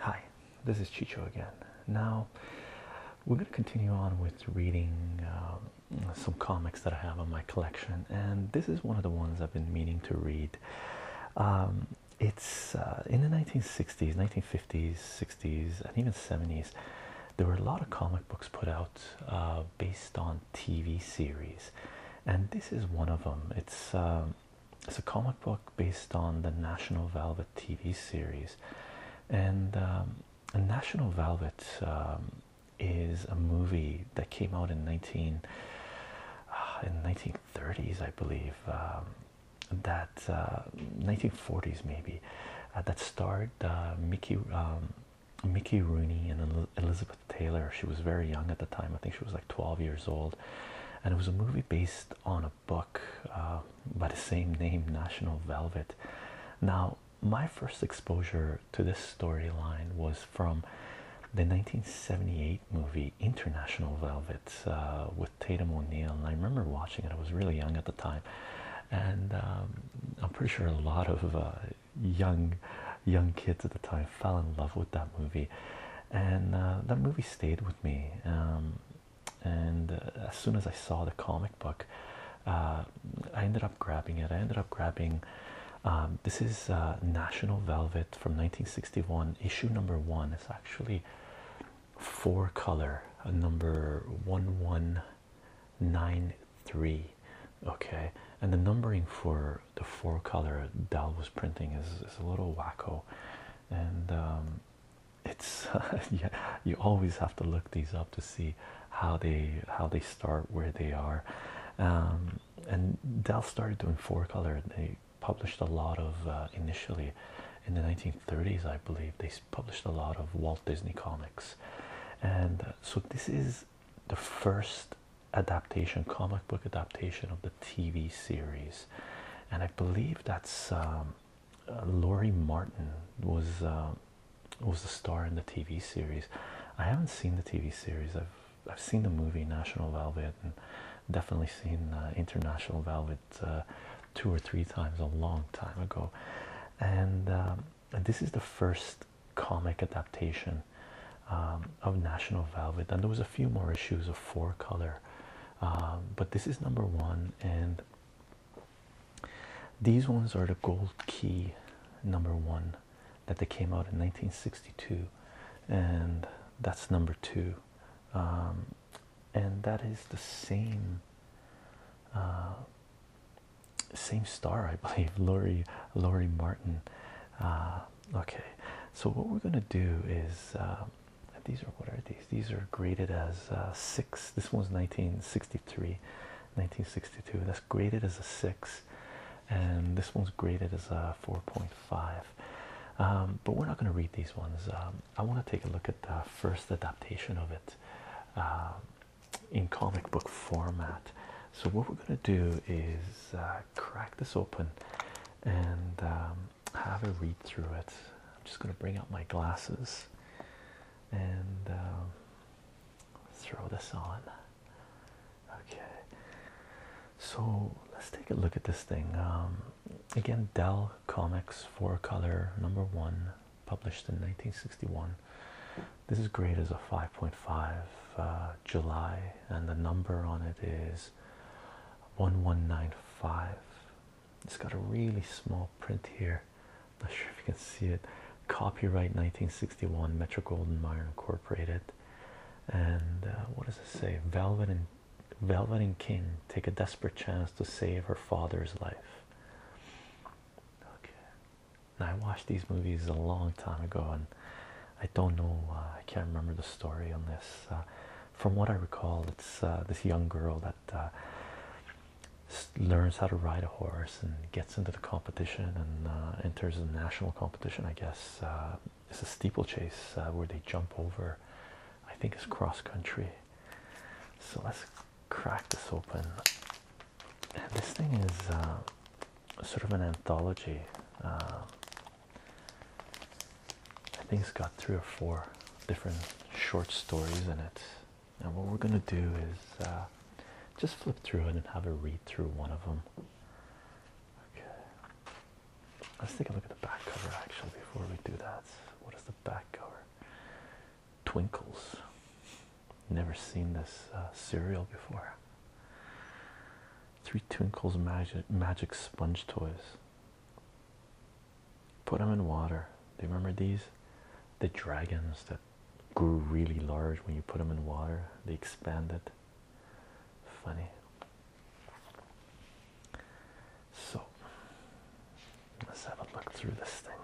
Hi, this is Chicho again. Now, we're going to continue on with reading um, some comics that I have in my collection, and this is one of the ones I've been meaning to read. Um, it's uh, in the 1960s, 1950s, 60s, and even 70s. There were a lot of comic books put out uh, based on TV series, and this is one of them. It's um, it's a comic book based on the National Velvet TV series, and um, National Velvet um, is a movie that came out in nineteen uh, in nineteen thirties, I believe, um, that uh, nineteen uh, maybe, that starred uh, Mickey Mickey Rooney and Elizabeth Taylor. She was very young at the time. I think she was like twelve years old, and it was a movie based on a book uh, by the same name, National Velvet. Now, my first exposure to this storyline was from the 1978 movie International Velvet uh, with Tatum O'Neal. and I remember watching it. I was really young at the time, and um, I'm pretty sure a lot of uh, young young kids at the time fell in love with that movie and uh, that movie stayed with me. Um, and uh, as soon as I saw the comic book, uh, I ended up grabbing it. I ended up grabbing um, this is National Velvet from 1961, issue number one. It's actually four color, uh, number 1193. Okay, and the numbering for the four color Dell was printing is, is a little wacko, and um, it's yeah, you always have to look these up to see how they how they start where they are, um, and Dell started doing four color. They published a lot of uh, initially in the 1930s, I believe they published a lot of Walt Disney comics, and uh, so this is the first adaptation comic book adaptation of the. TV series, and I believe that's um, uh, Laurie Martin was um, was the star in the TV series. I haven't seen the TV series. I've I've seen the movie National Velvet and definitely seen uh, International Velvet uh, two or three times a long time ago, and um, this is the first comic adaptation um, of National Velvet, and there was a few more issues of four color, um, but this is number one, and these ones are the gold key number one that they came out in 1962, and that's number two, um, and that is the same. Uh, same star, I believe, Laurie Laurie Martin, uh, okay so what we're going to do is um, these are what are these these are graded as uh, six this one's 1963 1962 that's graded as a six and this one's graded as a 4.5 um, but we're not going to read these ones um, I want to take a look at the first adaptation of it in comic book format so what we're going to do is uh, crack this open and um, have a read through it. I'm just going to bring out my glasses and um, throw this on. Okay, so let's take a look at this thing. Um, again, Dell Comics Four Color Number One, published in 1961. This is graded as a 5.5 uh, July, and the number on it is 1195. It's got a really small print here. Not sure if you can see it. Copyright 1961 Metro goldwyn mayer Incorporated. And uh, what does it say? Velvet and Velvet and King take a desperate chance to save her father's life. Okay. Now I watched these movies a long time ago and I don't know. Uh, I can't remember the story on this. Uh, from what I recall, it's uh, this young girl that learns how to ride a horse and gets into the competition and enters a national competition. I guess it's a steeplechase where they jump over. I think it's cross country. So let's crack this open. this thing is sort of an anthology. I think it's got three or four different short stories in it. And what we're gonna do is uh, just flip through it and have a read through one of them. Okay, let's take a look at the back cover actually before we do that. What is the back cover? Twinkles. Never seen this cereal uh, before. Three Twinkles Magic Magic Sponge Toys. Put them in water. Do you remember these? The dragons that grew really large when you put them in water. They expanded. Funny. So let's have a look through this thing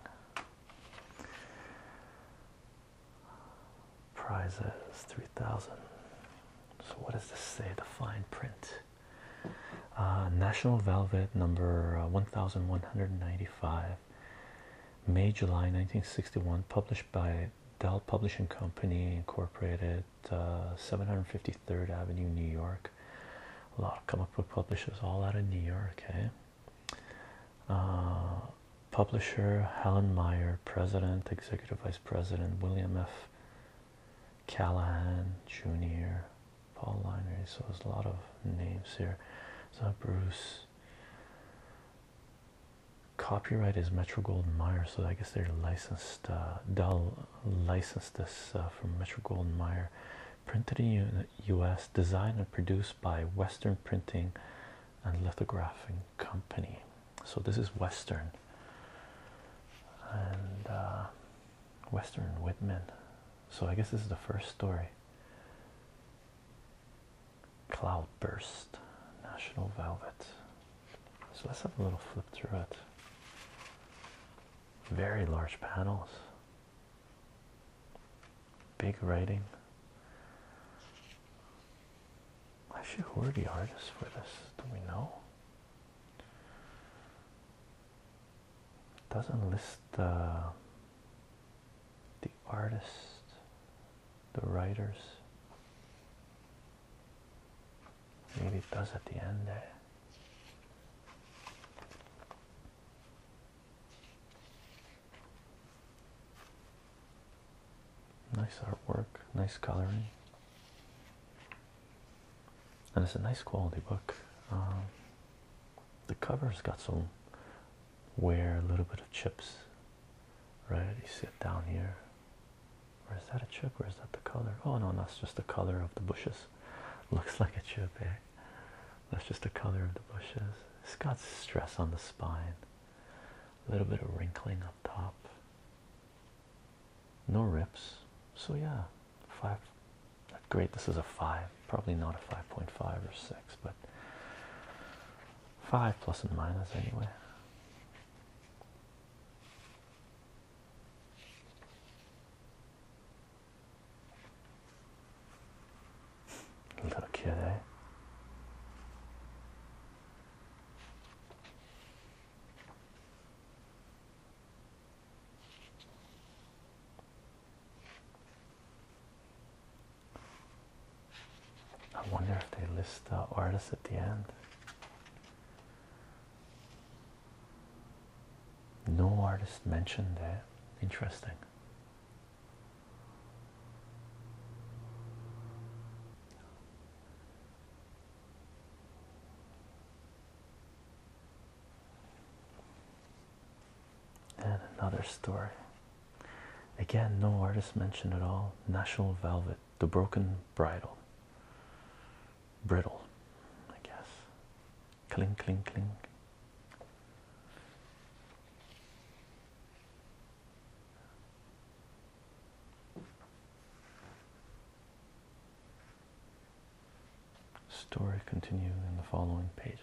prizes 3000 so what does this say the fine print uh, national velvet number uh, 1195 may july 1961 published by dell publishing company incorporated 753rd uh, avenue new york a lot of comic book publishers all out of new york Okay. Eh? publisher Helen Meyer, President, Executive Vice President William F. Callahan Jr., Paul Linery. So there's a lot of names here. So Bruce. Copyright is Metro Goldwyn Mayer, so I guess they're licensed. Uh, licensed this uh, from Metro Goldwyn Mayer. Printed in U.S., designed and produced by Western Printing and Lithographing Company. So this is Western and uh, Western Whitman. So I guess this is the first story. Cloudburst, National Velvet. So let's have a little flip through it. Very large panels. Big writing. Actually, who are the artists for this? Do we know? It doesn't list uh, the artists, the writers. Maybe it does at the end there. Nice artwork, nice coloring, and it's a nice quality book. Um, the cover's got some wear, a little bit of chips, right? You see it down here. Or is that a chip or is that the color? Oh no, that's just the color of the bushes. Looks like a chip, eh? That's just the color of the bushes. It's got stress on the spine. A little bit of wrinkling up top no rips so yeah five great this is a five probably not a 5.5 or six but five plus and minus anyway Look kid there. Eh? I wonder if they list the artists at the end. No artist mentioned there. Interesting. And another story. Again, no artist mentioned at all. National Velvet, The Broken Bridle. Brittle, I guess. Clink, clink, clink. Story continued in the following pages.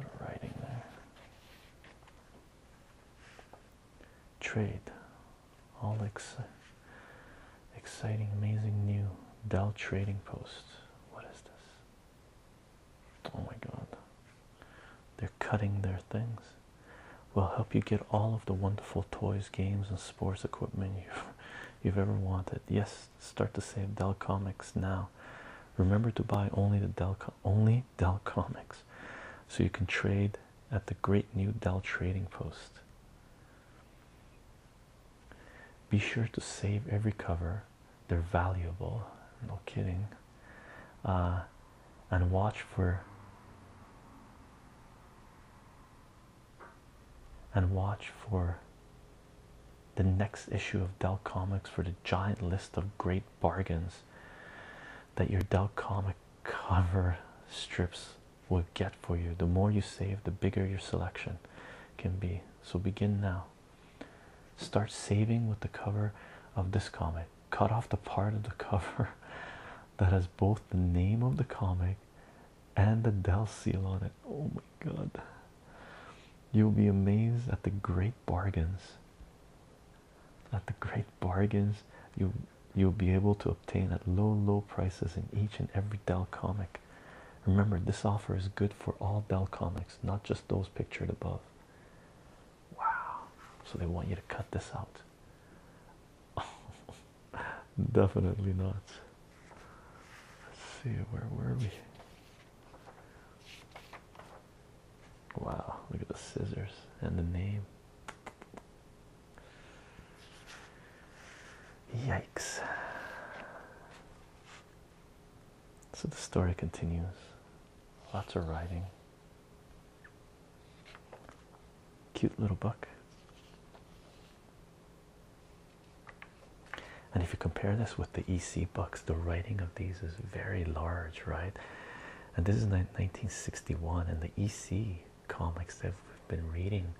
A writing there. Trade. All ex exciting, amazing new Dell trading post. What is this? Oh my god. They're cutting their things. We'll help you get all of the wonderful toys, games, and sports equipment you've, ever wanted. Yes, start to save Dell Comics now. Remember to buy only the Dell only Dell Comics, so you can trade at the great new Dell Trading Post. Be sure to save every cover; they're valuable. No kidding uh, and watch for and watch for the next issue of Dell Comics for the giant list of great bargains that your Dell Comic cover strips will get for you. The more you save, the bigger your selection can be. So begin now. Start saving with the cover of this comic cut off the part of the cover that has both the name of the comic and the Dell seal on it. Oh my god. You'll be amazed at the great bargains. At the great bargains you you'll be able to obtain at low low prices in each and every Dell comic. Remember this offer is good for all Dell comics, not just those pictured above. Wow. So they want you to cut this out. Definitely not. Let's see, where were we? Wow, look at the scissors and the name. Yikes. So the story continues. Lots of writing. Cute little book. And if you compare this with the EC books, the writing of these is very large, right? And this is 1961, and the EC comics that we've been reading,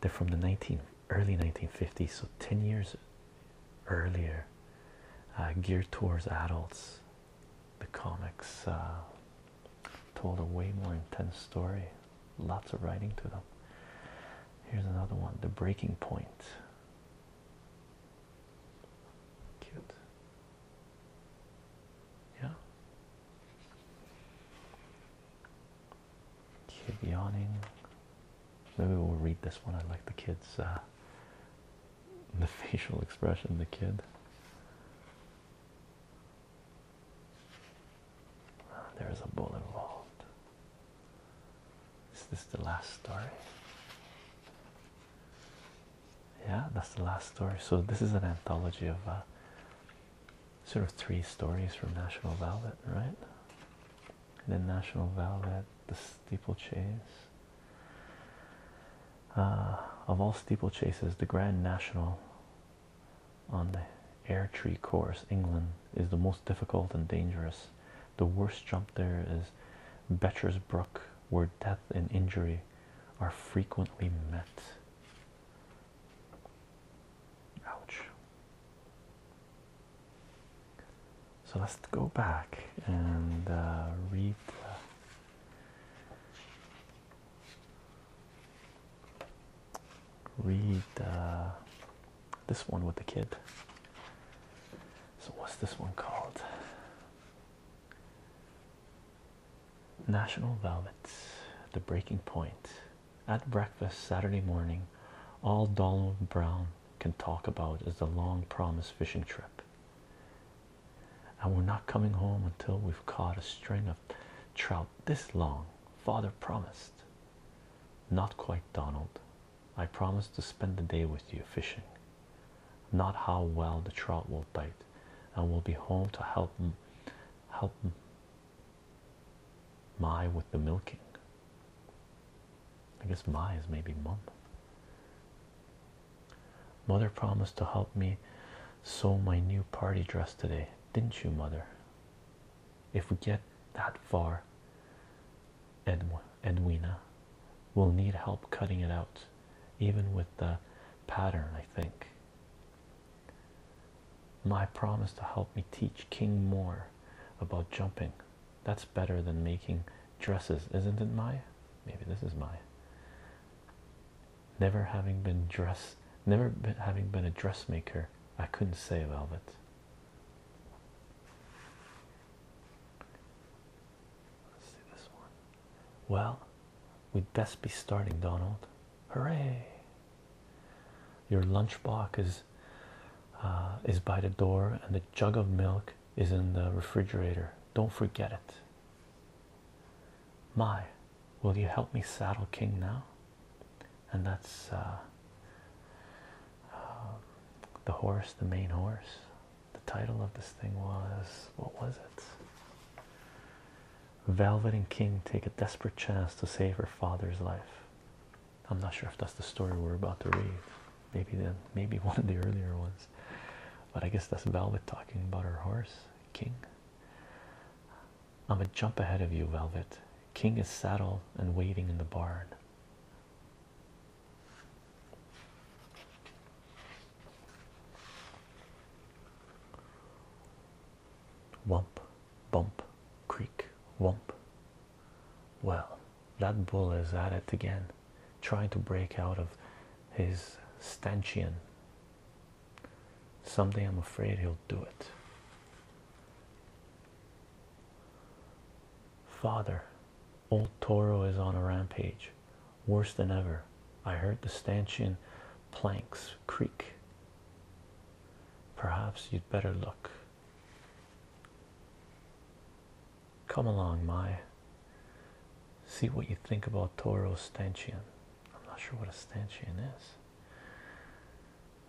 they're from the 19 early 1950s, so 10 years earlier, uh, geared towards adults the comics uh, told a way more intense story. Lots of writing to them. Here's another one, The Breaking Point. Cute. Yeah. Kid yawning. Maybe we'll read this one. I like the kids' uh, the facial expression the kid ah, there's a bull involved is this the last story yeah that's the last story so this is an anthology of uh, sort of three stories from national velvet right and then national velvet the steeplechase uh, of all steeplechases, the Grand National on the Air Tree course, England, is the most difficult and dangerous. The worst jump there is Betcher's Brook, where death and injury are frequently met. Ouch. So let's go back and uh, read. Read uh, this one with the kid. So, what's this one called? National Velvet, The Breaking Point. At breakfast Saturday morning, all Donald Brown can talk about is the long promised fishing trip and we're not coming home until we've caught a string of trout this long. Father promised. Not quite, Donald. I promised to spend the day with you fishing. Not how well the trout will bite, and we'll be home to help help my with the milking. I guess my is maybe mom. Mother promised to help me sew my new party dress today, didn't you, Mother? If we get that far, Edw Edwina will need help cutting it out, even with the pattern, I think. My promise to help me teach King more about jumping that's better than making dresses, isn't it, Maya? Maybe this is my. Never having been dress, never having been a dressmaker, I couldn't say Velvet. Let's see this one. Well, we'd best be starting, Donald. Hooray! Your lunchbox is uh, is by the door, and the jug of milk is in the refrigerator. Don't forget it. My, will you help me saddle King now? And that's uh, um, the horse, the main horse. The title of this thing was what was it? Velvet and King take a desperate chance to save her father's life. I'm not sure if that's the story we're about to read maybe then maybe one of the earlier ones but i guess that's velvet talking about her horse king i'm a jump ahead of you velvet king is saddled and waiting in the barn Wump, bump, creak, wump. Well, that bull is at it again, trying to break out of his stanchion. Someday I'm afraid he'll do it. Father, old Toro is on a rampage, worse than ever. I heard the stanchion planks creak. Perhaps you'd better look. Come along, Mai. See what you think about Toro Stanchion. I'm not sure what a stanchion is.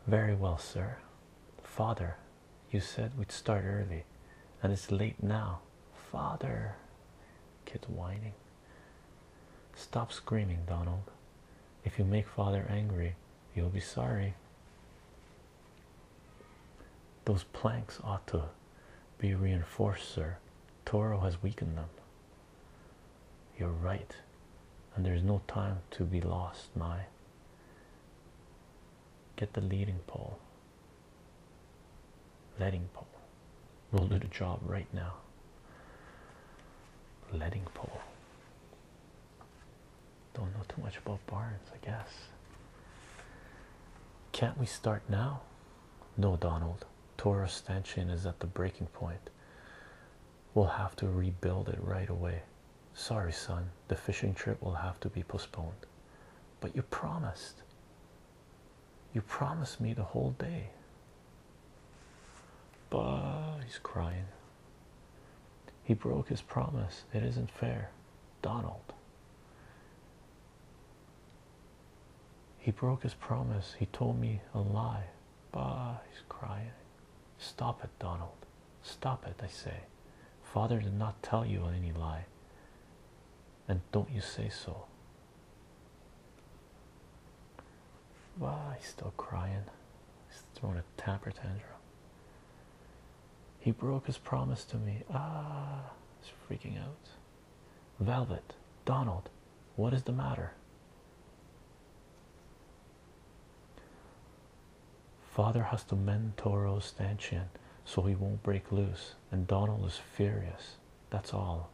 Very well, sir. Father, you said we'd start early, and it's late now. Father, kid's whining. Stop screaming, Donald. If you make father angry, you'll be sorry. Those planks ought to be reinforced, sir. Toro has weakened them. You're right, and there's no time to be lost, my. Get the leading pole. Leading pole. We'll do the job right now. Leading pole. Don't know too much about Barnes, I guess. Can't we start now? No, Donald. Toros stanchion is at the breaking point. We'll have to rebuild it right away. Sorry, son, the fishing trip will have to be postponed. But you promised. You promised me the whole day. But he's crying. He broke his promise. It isn't fair. Donald. He broke his promise. He told me a lie. Bah, he's crying. Stop it, Donald. Stop it, I say. Father did not tell you any lie. And don't you say so. Bah, he's still crying. He's throwing a temper tantrum. He broke his promise to me. Ah, he's freaking out. Velvet, Donald, what is the matter? Father has to mend Toro's stanchion so he won't break loose, and Donald is furious. That's all.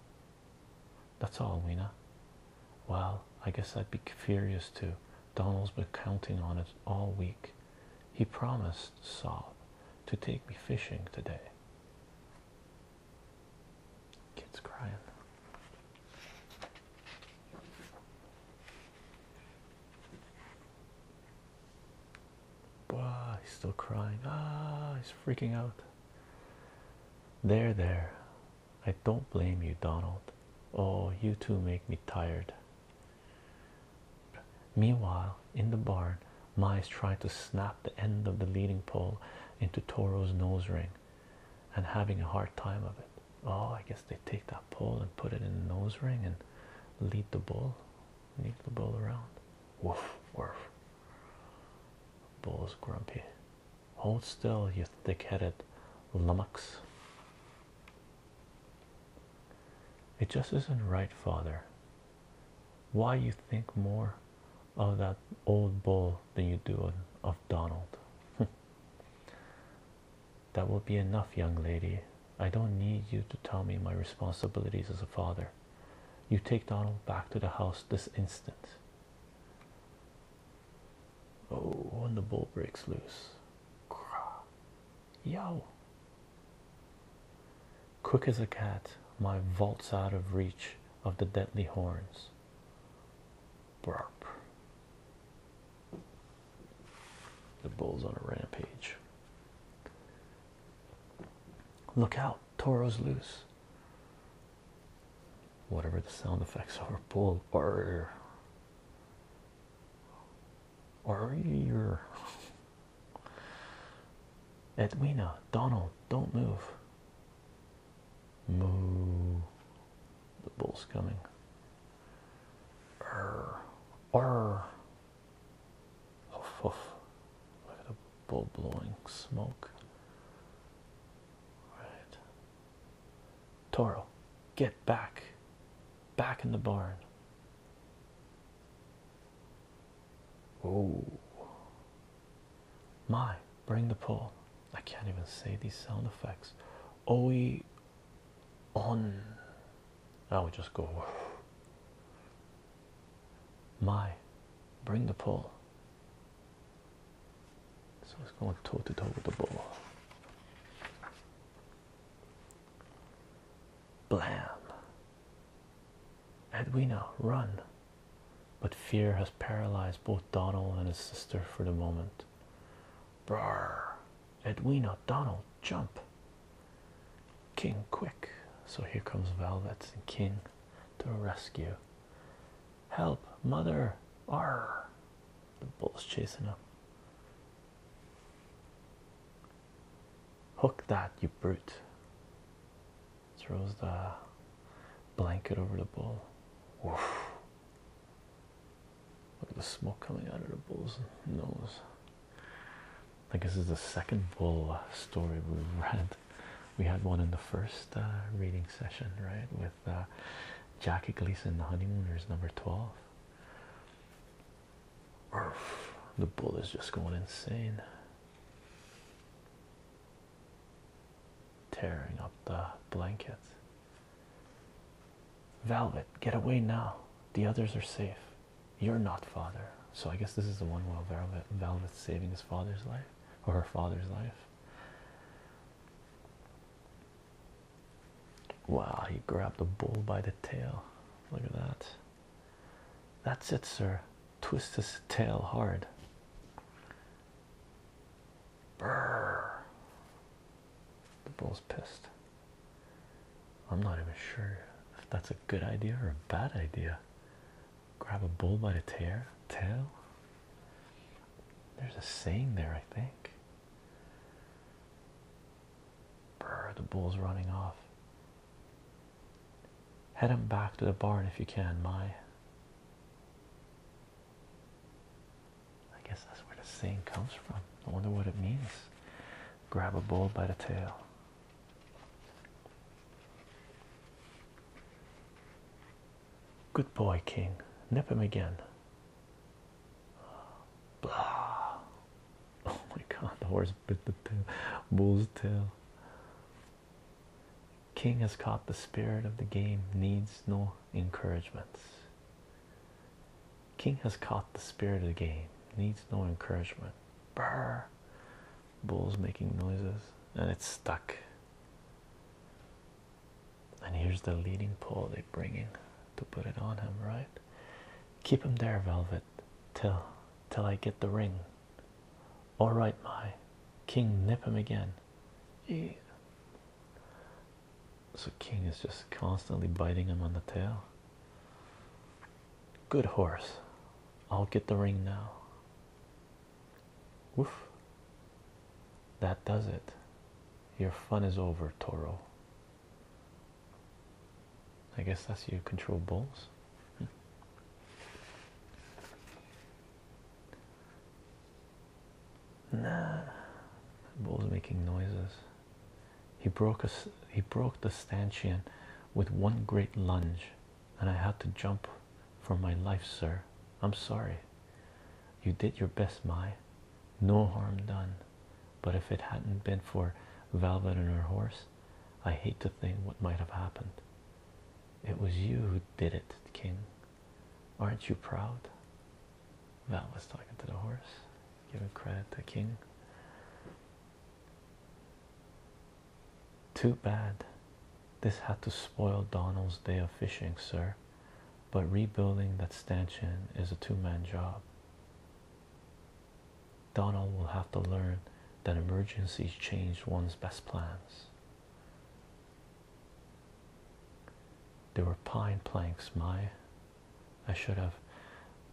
That's all, Weena. Well, I guess I'd be furious too. Donald's been counting on it all week. He promised Saul to take me fishing today. Kids crying. Wow, he's still crying. Ah, he's freaking out. There, there. I don't blame you, Donald. Oh, you two make me tired. Meanwhile, in the barn, Mice tried to snap the end of the leading pole into Toro's nose ring and having a hard time of it. Oh, I guess they take that pole and put it in the nose ring and lead the bull, lead the bull around. Woof, woof. Bull's grumpy. Hold still, you thick headed lummox. It just isn't right, father. Why you think more of that old bull than you do of Donald? that will be enough, young lady. I don't need you to tell me my responsibilities as a father. You take Donald back to the house this instant. Oh, when the bull breaks loose. Yo. Quick as a cat, my vault's out of reach of the deadly horns. Burp. The bull's on a rampage. Look out, Toro's loose. Whatever the sound effects of are, bull. Burr or you're Edwina, Donald, don't move. Moo. The bull's coming. Err. Err. Huff, huff. Look at the bull blowing smoke. Right. Toro, get back. Back in the barn. Oh, my, bring the pull. I can't even say these sound effects. Oe on. I would just go. My, bring the pull. So it's going toe to toe with the ball. Blam! Edwina, run! But fear has paralyzed both Donald and his sister for the moment. Brr! Edwina, Donald, jump! King, quick! So here comes Velvet and King to the rescue. Help, mother! R. The bull's chasing him. Hook that, you brute. Throws the blanket over the bull. Look at the smoke coming out of the bull's nose. I think this is the second bull story we've read. We had one in the first uh, reading session, right? With uh, Jackie Gleason, The Honeymooners, number 12. The bull is just going insane. Tearing up the blankets. Velvet, get away now. The others are safe. You're not father. So I guess this is the one where Velvet Velvet's saving his father's life or her father's life. Wow, he grabbed a bull by the tail. Look at that. That's it, sir. Twist his tail hard. Brrr. The bull's pissed. I'm not even sure if that's a good idea or a bad idea. Grab a bull by the tail. Tail. There's a saying there, I think. Brr, the bull's running off. Head him back to the barn if you can, my. I guess that's where the saying comes from. I wonder what it means. Grab a bull by the tail. Good boy, King. Nip him again. Oh my god, the horse bit the tail, bull's tail. King has caught the spirit of the game, needs no encouragements. King has caught the spirit of the game, needs no encouragement. Brr. Bull's making noises and it's stuck. And here's the leading pole they are bringing to put it on him, right? Keep him there, Velvet, till till I get the ring. All right, my king, nip him again. Yeah. So King is just constantly biting him on the tail. Good horse. I'll get the ring now. Woof. That does it. Your fun is over, Toro. I guess that's your control balls. Hmm. Nah, bull's making noises. He broke us. He broke the stanchion with one great lunge, and I had to jump for my life, sir. I'm sorry. You did your best, my. No harm done. But if it hadn't been for Velvet and her horse, I hate to think what might have happened. It was you who did it, King. Aren't you proud? Velvet's talking to the horse, giving credit to King. Too bad. This had to spoil Donald's day of fishing, sir but rebuilding that stanchion is a two-man job. Donald will have to learn that emergencies change one's best plans. There were pine planks, my. I should have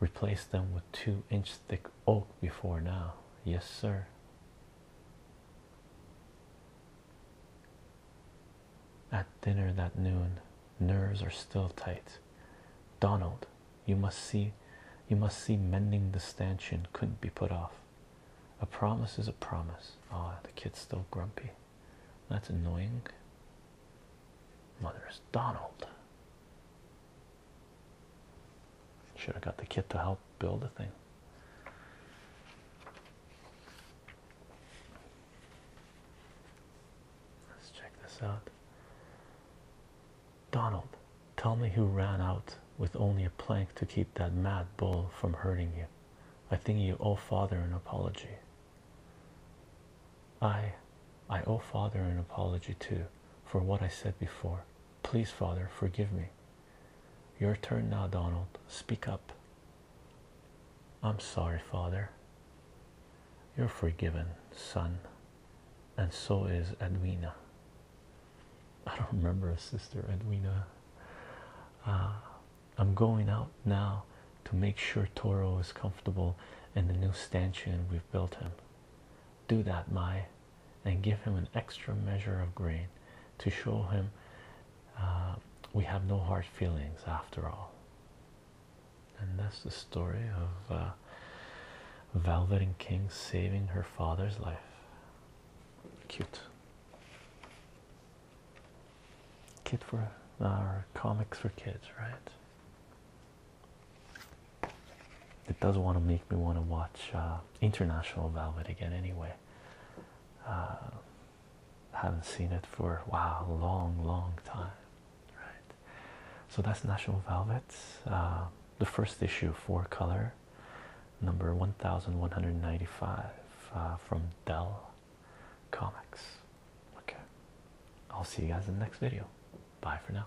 replaced them with two inch thick oak before now. Yes, sir. At dinner that noon, nerves are still tight. Donald, you must see, you must see mending the stanchion couldn't be put off. A promise is a promise. Ah, the kid's still grumpy. That's annoying. Mother's Donald. Should have got the kid to help build the thing. Let's check this out. Donald, tell me who ran out with only a plank to keep that mad bull from hurting you. I think you owe father an apology. I I owe father an apology too for what I said before. Please, father, forgive me. Your turn now, Donald. Speak up. I'm sorry, Father. You're forgiven, son, and so is Edwina. I don't remember a sister, Edwina. Uh, I'm going out now to make sure Toro is comfortable in the new stanchion we've built him. Do that, my, and give him an extra measure of grain to show him uh, we have no hard feelings after all and that's the story of uh, Velvet and King saving her father's life. Cute. Kid for our uh, comics for kids, right? It does want to make me want to watch uh, International Velvet again, anyway haven't seen it for wow a long long time right so that's national velvet uh, the first issue four color number 1195 uh, from dell comics okay i'll see you guys in the next video bye for now